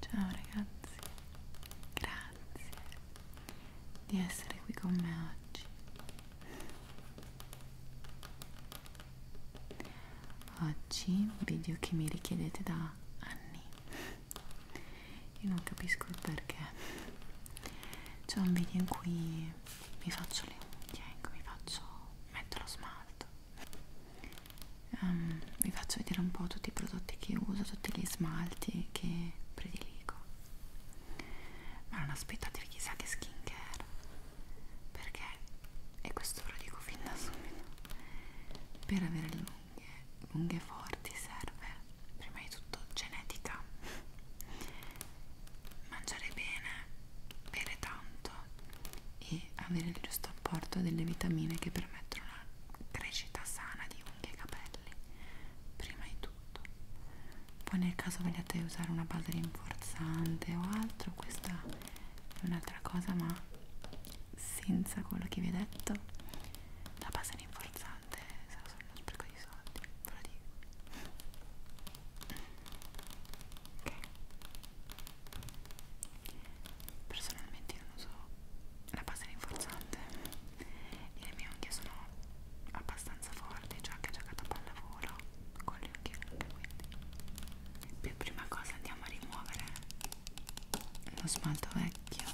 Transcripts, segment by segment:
Ciao ragazzi, grazie di essere qui con me oggi. Oggi video che mi richiedete da anni. Io non capisco il perché. C'è un video in cui mi faccio le unghie, ecco, mi faccio, metto lo smalto um, ehm, vi faccio vedere un po' tutti i prodotti che uso, tutti gli smalti che prediligo ma non aspettatevi chissà che skincare perché, e questo ve lo dico fin da subito per avere le unghie, unghie forti serve prima di tutto genetica mangiare bene, bere tanto e avere il giusto apporto delle vitamine che permettono una crescita sana di unghie e capelli prima di tutto poi nel caso vogliate usare una base rinforzante o altro questa è un'altra cosa ma senza quello che vi ho detto la base rinforzante sarà solo uno spreco di soldi ve lo dico ok personalmente io non uso la pasta rinforzante e le mie unghie sono abbastanza forti cioè che ho giocato a pallavolo con le unghie anche quindi per prima cosa andiamo a rimuovere lo smalto vecchio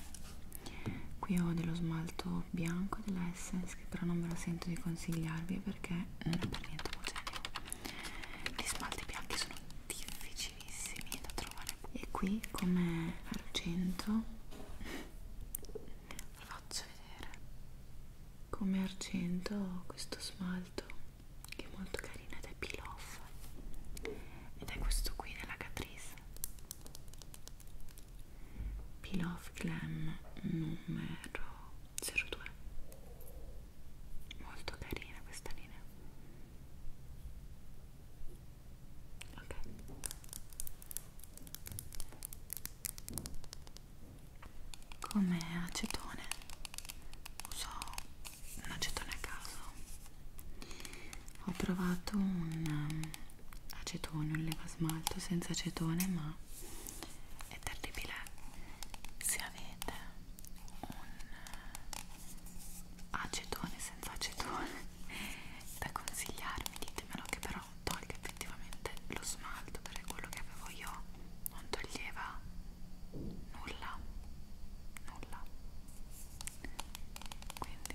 qui ho dello smalto bianco della Essence che però non ve lo sento di consigliarvi perché non è per niente omogeneo gli smalti bianchi sono difficilissimi da trovare e qui come argento vi faccio vedere come argento ho questo smalto che è molto carino ed è peel off ed è questo qui della Catrice peel off glam numero 02 molto carina questa linea ok come acetone uso un acetone a caso ho provato un um, acetone un leva smalto senza acetone ma è terribile se avete un eh, acetone senza acetone da consigliarmi ditemelo che però tolga effettivamente lo smalto perché quello che avevo io non toglieva nulla nulla quindi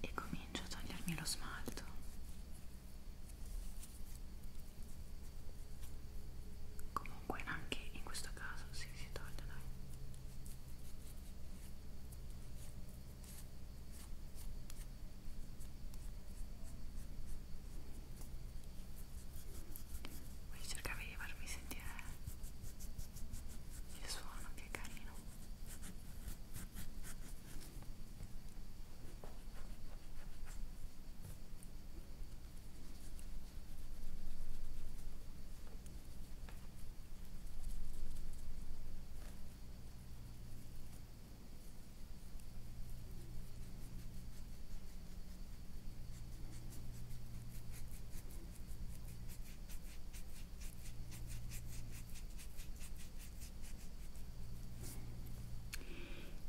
e comincio a togliermi lo smalto comunque anche in questo caso si sì, si toglie dai quindi cercavi di farmi sentire il suono che è carino. Ecco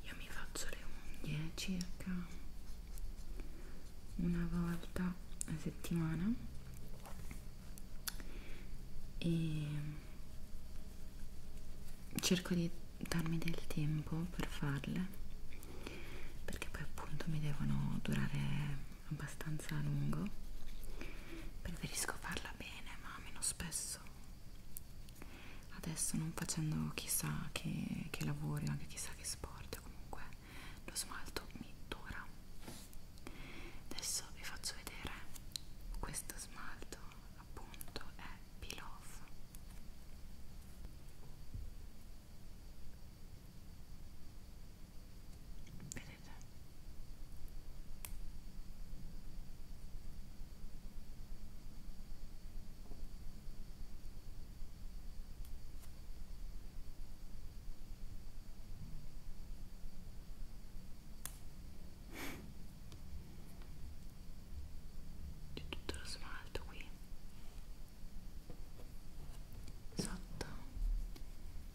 io mi faccio le unghie circa una volta a settimana e cerco di darmi del tempo per farle perché poi appunto mi devono durare abbastanza a lungo preferisco farla bene ma meno spesso adesso non facendo chissà che, che lavori o anche chissà che sport comunque lo smalto mi dura adesso vi faccio vedere questo smalto appunto è pillow vedete c'è tutto lo smalto qui sotto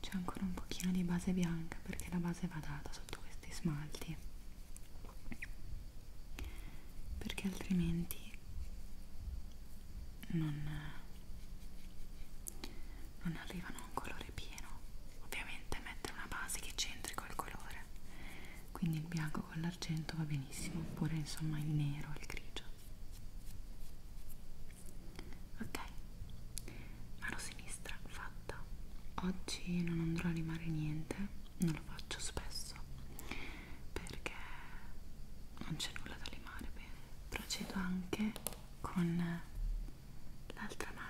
c'è ancora un pochino di base bianca perché la base va data sotto questi smalti perché altrimenti non, non arrivano a un colore pieno ovviamente mettere una base che c'entri col colore quindi il bianco bianco con l'argento va benissimo oppure insomma il nero il grigio ok mano sinistra fatta oggi non andrò a rimare niente non lo faccio spesso perché non c'è nulla da limare bene procedo anche con l'altra mano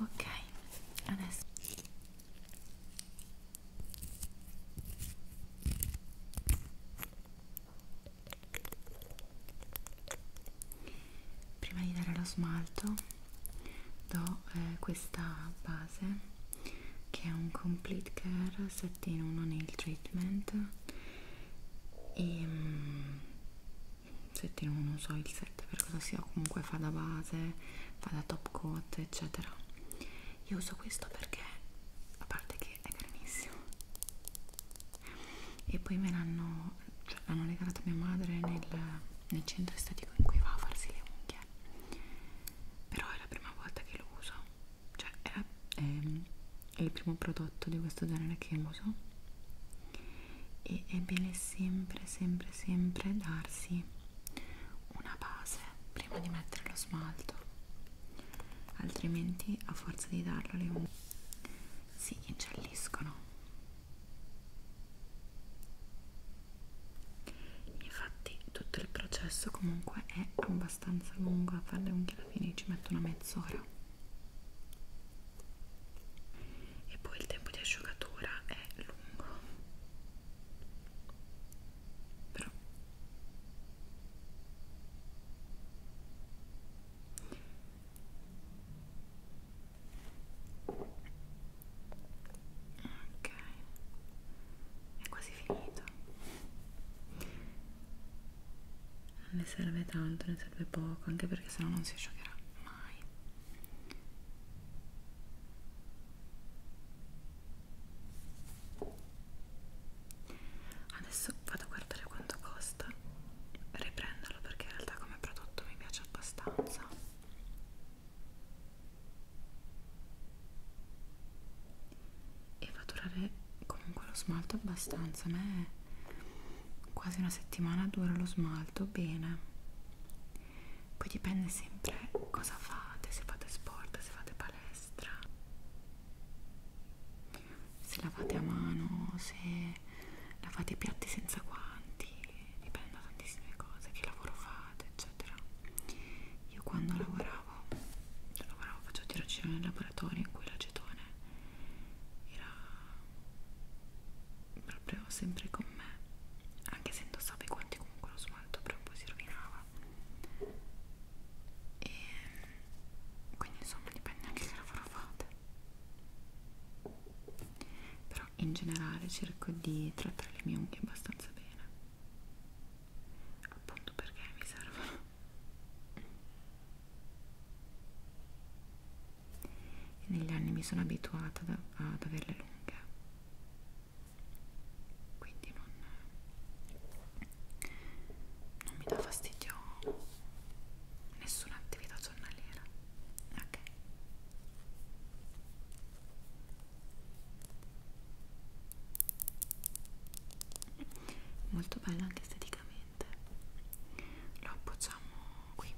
ok adesso prima di dare lo smalto do eh, questa base che è un complete care 7 in 1 nail treatment e mm, settimo non so il 7 per cosa sia comunque fa da base fa da top coat eccetera io uso questo perché a parte che è carinissimo e poi me l'hanno cioè, l'hanno regalato mia madre nel, nel centro estetico in cui va a farsi le unghie però è la prima volta che lo uso cioè è, la, è, è il primo prodotto di questo genere che uso e è bene sempre sempre sempre darsi una base prima di mettere lo smalto altrimenti a forza di darlo le unghie si ingialliscono infatti tutto il processo comunque è abbastanza lungo a fare le unghie alla fine ci metto una mezz'ora e poi il tempo di asciugatura è lungo però ok è quasi finito non ne serve tanto ne serve poco anche perché sennò non si asciugherà mai Adesso vado a guardare quanto costa riprenderlo perché in realtà come prodotto mi piace abbastanza. E va a durare comunque lo smalto abbastanza. A me quasi una settimana dura lo smalto bene poi dipende sempre cosa fate se fate sport se fate palestra se lavate a mano se lavate i piatti senza guanti dipende da tantissime cose che lavoro fate eccetera io quando lavoravo, cioè lavoravo faccio tirocino nel laboratorio in cui l'acetone era proprio sempre con me anche se indossavo i guanti comunque lo smalto però poi si rovinava e quindi insomma dipende anche che lavoro fate però in generale cerco di trattare le mie unghie abbastanza bene appunto perché mi servono e negli anni mi sono abituata da, ad averle lunghe quindi non, non mi dà fastidio nessuna attività giornaliera ok molto bella anche esteticamente lo appoggiamo qui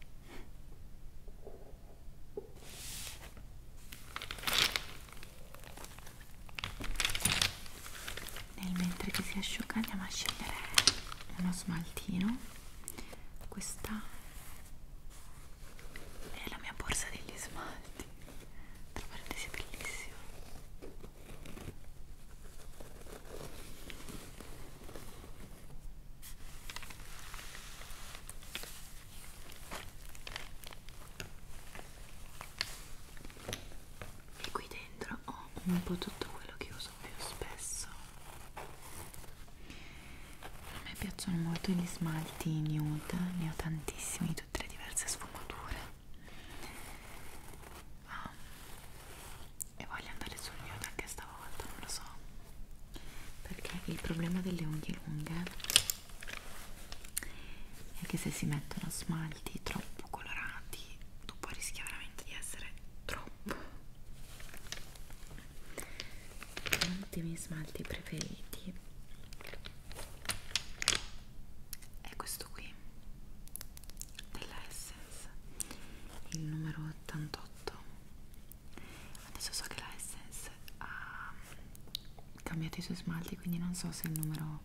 nel mentre che si asciuga andiamo a scegliere uno smaltino. Questa è la mia borsa degli smalti. Tra parentesi è bellissima e qui dentro ho un po' tutto quello che uso più spesso a me piacciono molto gli smalti nude ne ho tantissimi di tutte le diverse sfumature ah, e voglio andare sul nude anche sta stavolta, non lo so perché il problema delle unghie lunghe è che se si mettono smalti troppo colorati tu puoi rischiare veramente di essere troppo uno miei smalti preferiti è questo qui della Essence il numero 88 adesso so che la Essence ha cambiato i suoi smalti quindi non so se il numero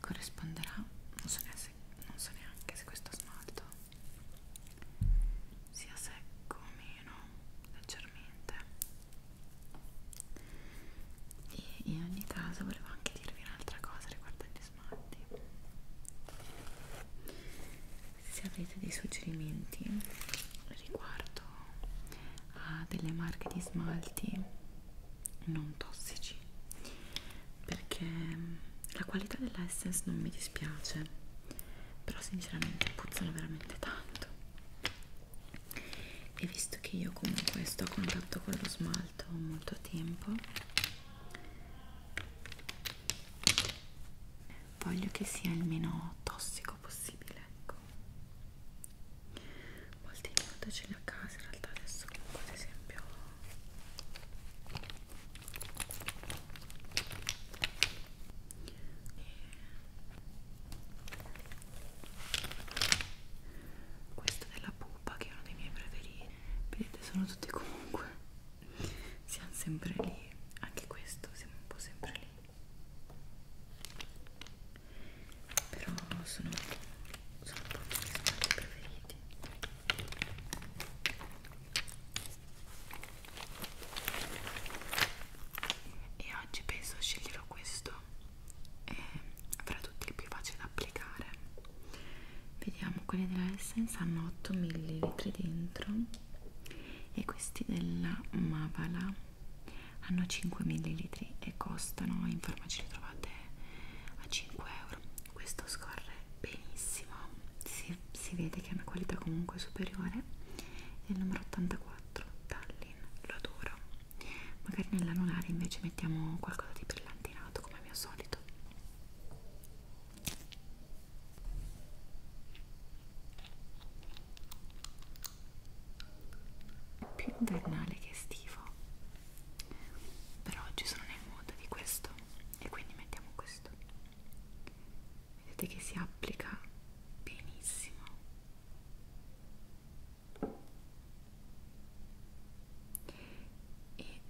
corrisponderà non so neanche se, so neanche se questo smalto sia secco o meno leggermente e in ogni caso volevo anche dirvi un'altra cosa riguardo agli smalti se avete dei suggerimenti riguardo a delle marche di smalti non tossici perché mm, la qualità dell'essence non mi dispiace però sinceramente puzzano veramente tanto e visto che io comunque sto a contatto con lo smalto molto tempo voglio che sia il meno tossico poco possibile ecco molti minuti ce li ho a casa in realtà adesso comunque ad esempio e eh, questo della pupa che è uno dei miei preferiti vedete sono tutti comunque siamo sempre lì anche questo siamo un po' sempre lì però sono, sono proprio i miei smalti preferiti e oggi penso sceglierò questo e avrà tutti più facile da applicare vediamo quelli della Essence hanno 8 ml dentro e questi della Mavala hanno 5 ml e costano in farmacia li trovate a 5 euro questo scorre benissimo si, si vede che è una qualità comunque superiore è il numero 84 Tallinn l'odoro magari nell'anulare invece mettiamo qualcosa di brillantinato come al mio solito più invernale che estivo però oggi sono nel mood di questo e quindi mettiamo questo vedete che si applica benissimo e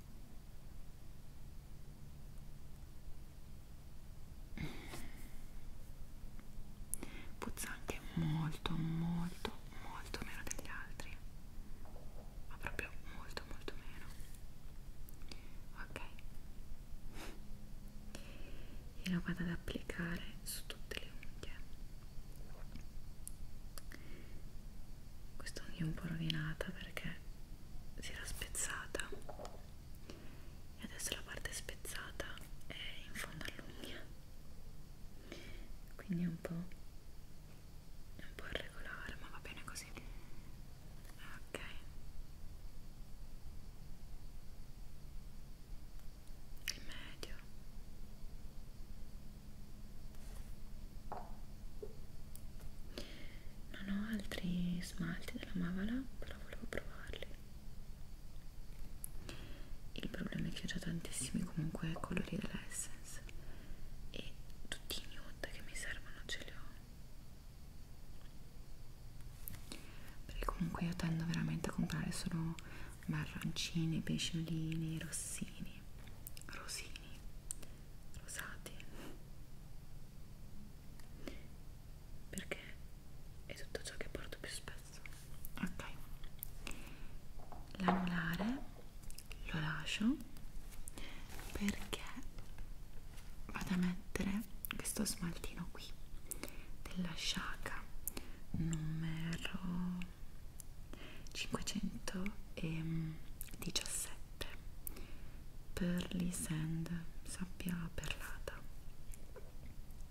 puzza anche molto molto molto meno degli altri ma proprio molto molto meno ok e la vado ad applicare su tutte le unghie questa unghia è un po' rovinata perché si era spezzata e adesso la parte spezzata è in fondo all'unghia quindi è un po' è un po' irregolare ma va bene così ok il medio non ho altri smalti della Mavala però volevo provarli il problema è che ho già tantissimi comunque colori della Essence e tutti i nude che mi servono ce li ho perché comunque io tendo veramente a comprare solo marroncini, pesciolini, rossini rosini, rosati perché è tutto ciò che porto più spesso ok l'anulare lo lascio perché vado a mettere questo smaltino qui della Shaka numero 517 Pearly Sand sabbia perlata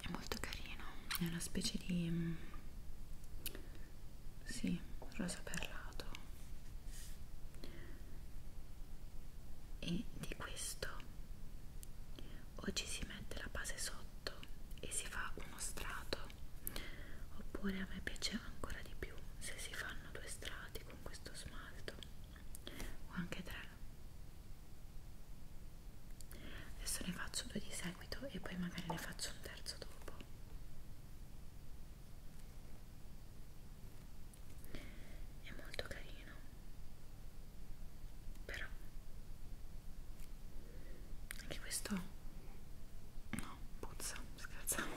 è molto carino è una specie di mm, sì, rosa perlato e di questo oggi si mette la base sotto e si fa uno strato oppure a me piace ancora di più se si fanno due strati con questo smalto o anche tre adesso ne faccio due di seguito e poi magari ne faccio un terzo dopo è molto carino però anche questo no puzza scherzavo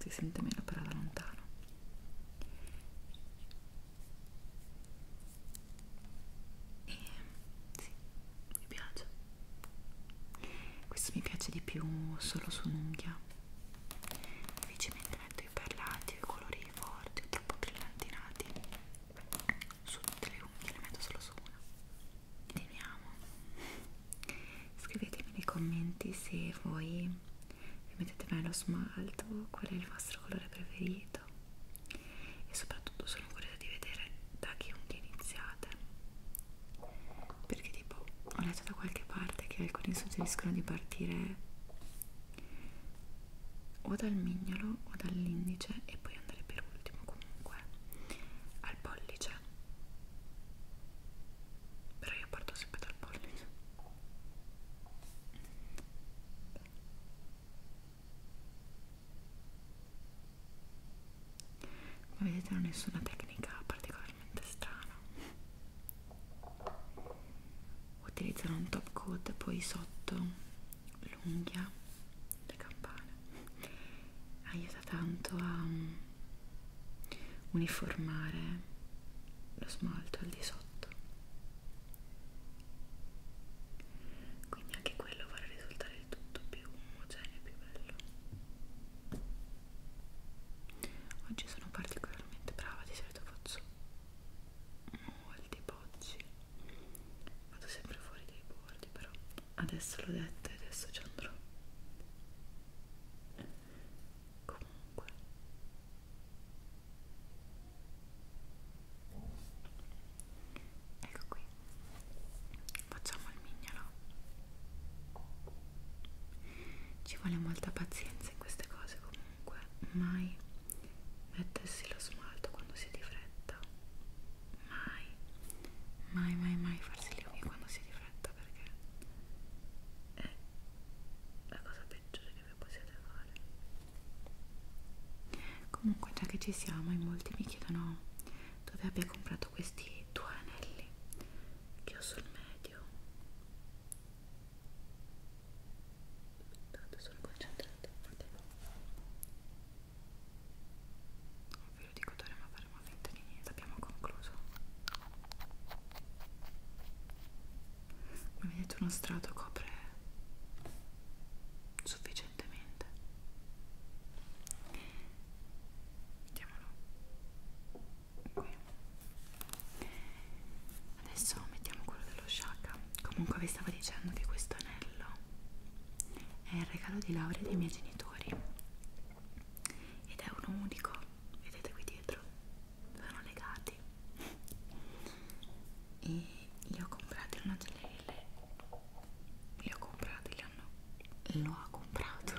si sente meno però da lontano e sì, mi piace questo mi piace di più solo su un'unghia invece mentre metto i perlati o i colori forti o troppo brillantinati su tutte le unghie le metto solo su una ed mi amo scrivetemi nei commenti se voi vi mettete mai lo smalto qual è il vostro colore preferito e soprattutto sono curiosa di vedere da che unghie iniziate perché tipo ho letto da qualche parte che alcuni suggeriscono di partire o dal mignolo o dall'indice e poi andare per ultimo comunque al pollice però io parto sempre dal pollice ma vedete non è nessuna tecnica particolarmente strana utilizzano un top coat poi sotto l'unghia le campane aiuta tanto a mm, uniformare lo smalto al di sotto quindi anche quello vuole risultare rendere tutto più omogeneo e più bello oggi sono particolarmente brava di solito faccio molti bocci vado sempre fuori dai bordi però adesso l'ho detto e adesso ci andrò comunque ecco qui qui facciamo il mignolo ci vuole molta pazienza in queste cose comunque mai mettersi lo smalto quando si è di fretta mai mai mai mai farsi le unghie quando si è di fretta perché è la cosa peggiore che vi possiate fare comunque già che ci siamo in molti mi chiedono dove abbia comprato questi due anelli che ho sul medio tanto sono concentrata okay. non ve lo dico d'ora ma faremo finta di niente abbiamo concluso come vedete uno strato copre sufficientemente mettiamolo qui adesso mettiamo quello dello shaka comunque vi stavo dicendo che questo anello è il regalo di laurea dei miei genitori ed è uno unico vedete qui dietro sono legati e li ho comprati in una gelleria pelle le ho comprate, le hanno, lo ha comprato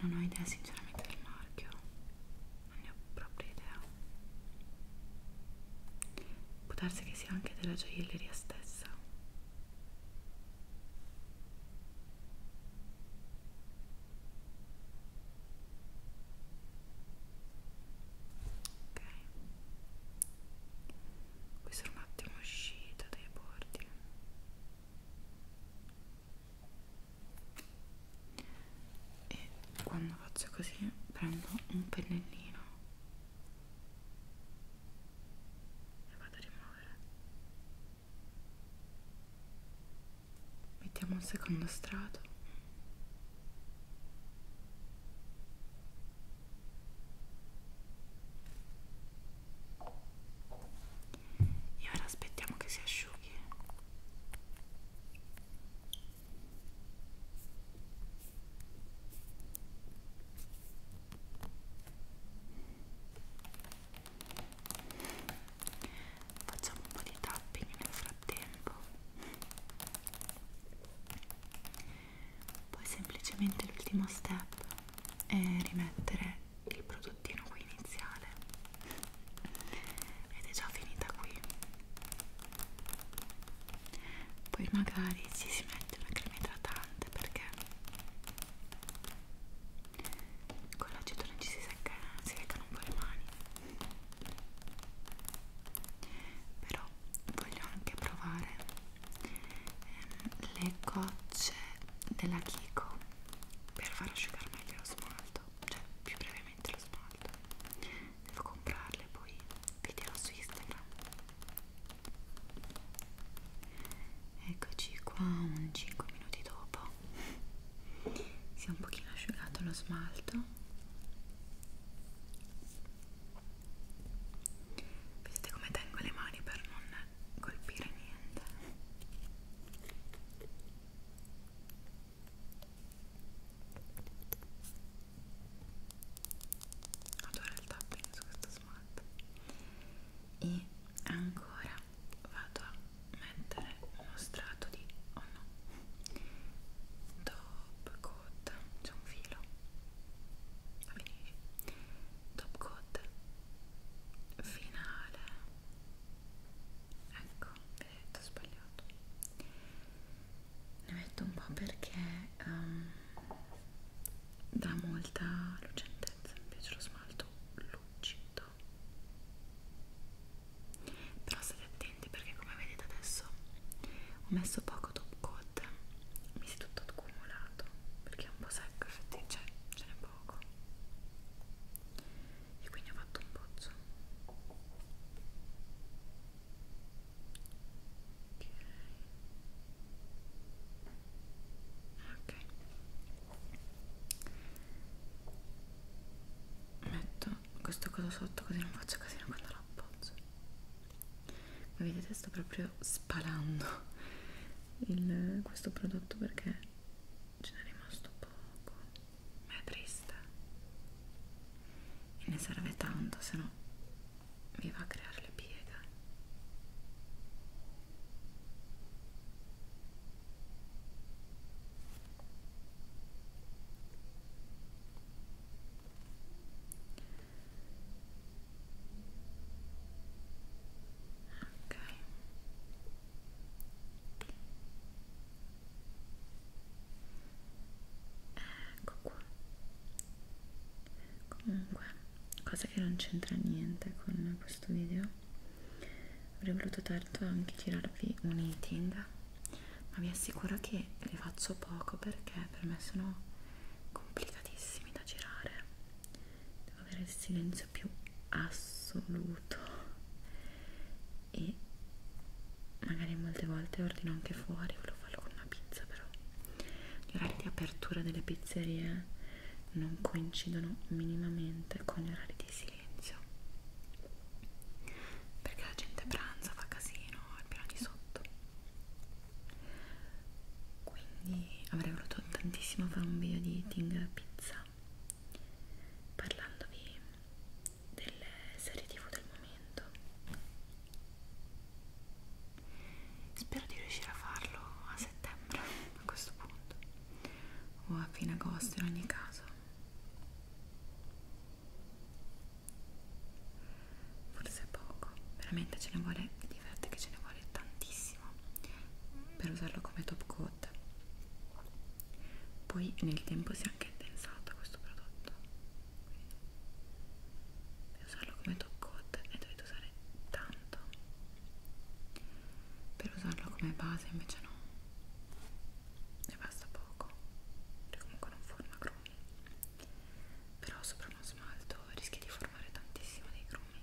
non ho idea sinceramente del marchio non ne ho proprio idea può darsi che sia anche della gioielleria stessa ok questa era un attimo uscita dai bordi. E quando faccio così prendo un pennellino e vado a rimuovere. Mettiamo un secondo strato. E ora aspettiamo che si asciughi. Facciamo un po' di tapping nel frattempo poi semplicemente l'ultimo step è rimettere il prodottino qui iniziale ed è già finita qui poi magari ci si mette una crema idratante perché con l'acetone ci si, secca, si leccano un po' le mani però voglio anche provare ehm, le gocce della Kiko per far asciugare meglio lo smalto cioè più brevemente lo smalto devo comprarle poi video su Instagram eccoci qua un 5 minuti dopo si è un pochino asciugato lo smalto Vedete come tengo le mani per non colpire niente? Adoro il tapping su questo smart e ancora vado a mettere uno strato di oh no top coat c'è un filo finisce top coat finale ecco vedete ho sbagliato ne metto un po' perché um, dà molta lucentezza invece lo smalto lucido però state attenti perché come vedete adesso ho messo poco gioco top coat mi si è tutto accumulato perché è un po' secco effettivamente cioè, ce n'è poco e quindi ho fatto un pozzo ok, okay. metto questo coso sotto così non faccio casino quando lo appozzo come vedete sto proprio spalando il, questo prodotto perché ce n'è rimasto poco ma è triste e ne serve tanto se no mi va a creare le pieghe ok ecco qua comunque cosa che non c'entra niente con questo video avrei voluto tanto anche girarvi un eating ma vi assicuro che ne faccio poco perché per me sono complicatissimi da girare devo avere il silenzio più assoluto e magari molte volte ordino anche fuori volevo farlo con una pizza però gli orari di apertura delle pizzerie non coincidono minimamente con gli orari di silenzio perché la gente pranza fa casino al piano di sotto quindi avrei voluto tantissimo fare un video di eating pizza parlandovi delle serie tv del momento spero di riuscire a farlo a settembre a questo punto o a fine agosto in ogni caso forse poco veramente ce ne vuole di verde che ce ne vuole tantissimo per usarlo come top coat poi nel tempo si è anche intensato questo prodotto per usarlo come top coat ne dovete usare tanto per usarlo come base invece no ne basta poco perché comunque non forma grumi però sopra uno smalto rischi di formare trovare tantissimo dei grumi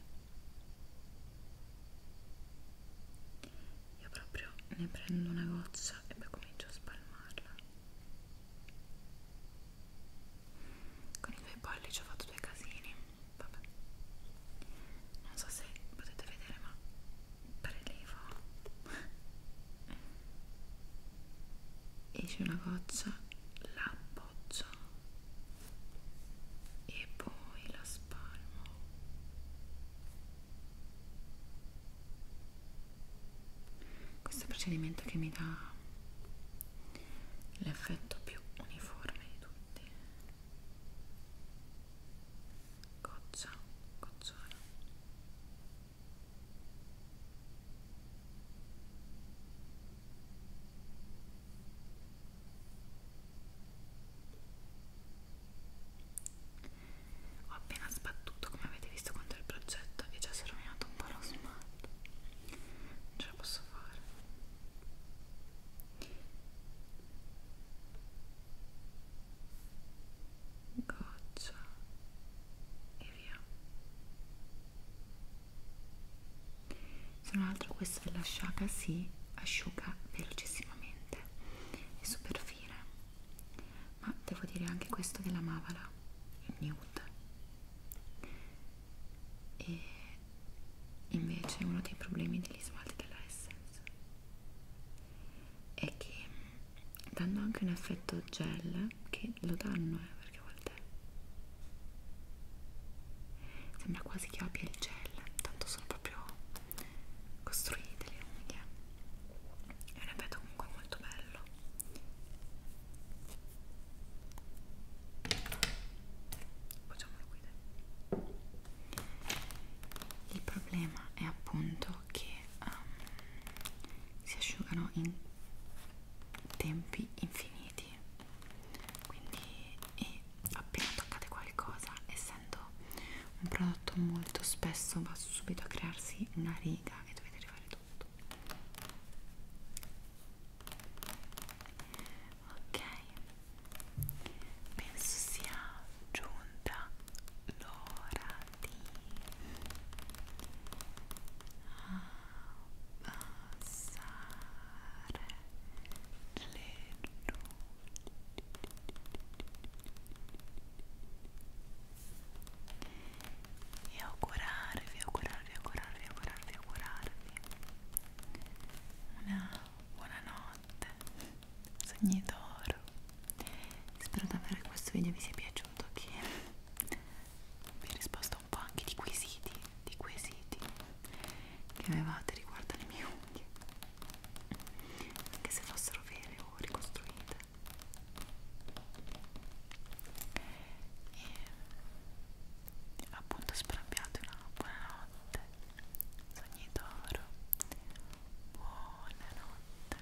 io proprio ne prendo una goccia e poi comincio a spalmarla con i miei pollici ho fatto due casini vabbè non so se potete vedere ma prelevo esce una goccia la l'appoggia e poi la spalmo questo è il procedimento che mi dà l'effetto più uniforme di tutti goccia, gocciola ho appena sbattuto, come avete visto, contro il progetto e già si è rovinato un po' lo smalto. Non ce la posso fare. Goccia e via se non altro questa della Shaka si asciuga velocissimamente e super fine ma devo dire anche questo della Mavala il nude e invece uno dei problemi degli smalti della Essence è che danno anche un effetto gel che lo danno eh, perché a volte sembra quasi che abbia il gel tanto sono proprio costruite le unghie è un effetto comunque molto bello facciamolo qui il problema è appunto che um, si asciugano in tempi infiniti quindi e appena toccate qualcosa essendo un prodotto molto spesso va subito a crearsi una riga e dovete rifare tutto ok penso sia giunta l'ora di ah, abbassare le nuvole e augurarvi, augurarvi, augurarvi, augurarvi, augurarvi una buona notte, sogni d'oro. Spero davvero che questo video vi sia piaciuto, che vi risposto risposta un po' anche di quesiti, di quesiti che avevate riguardo alle mie unghie, anche se fossero vere o ricostruite. E appunto spero abbiate una buona notte, sogni d'oro, buonanotte,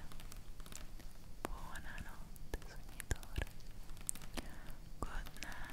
buonanotte, sogni d'oro, good night.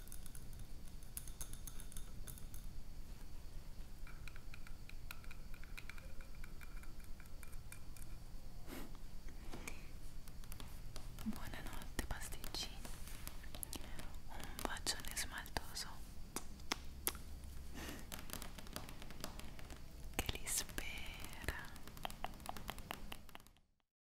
Buonanotte pasticcini. Un bacione smaltoso che li spera.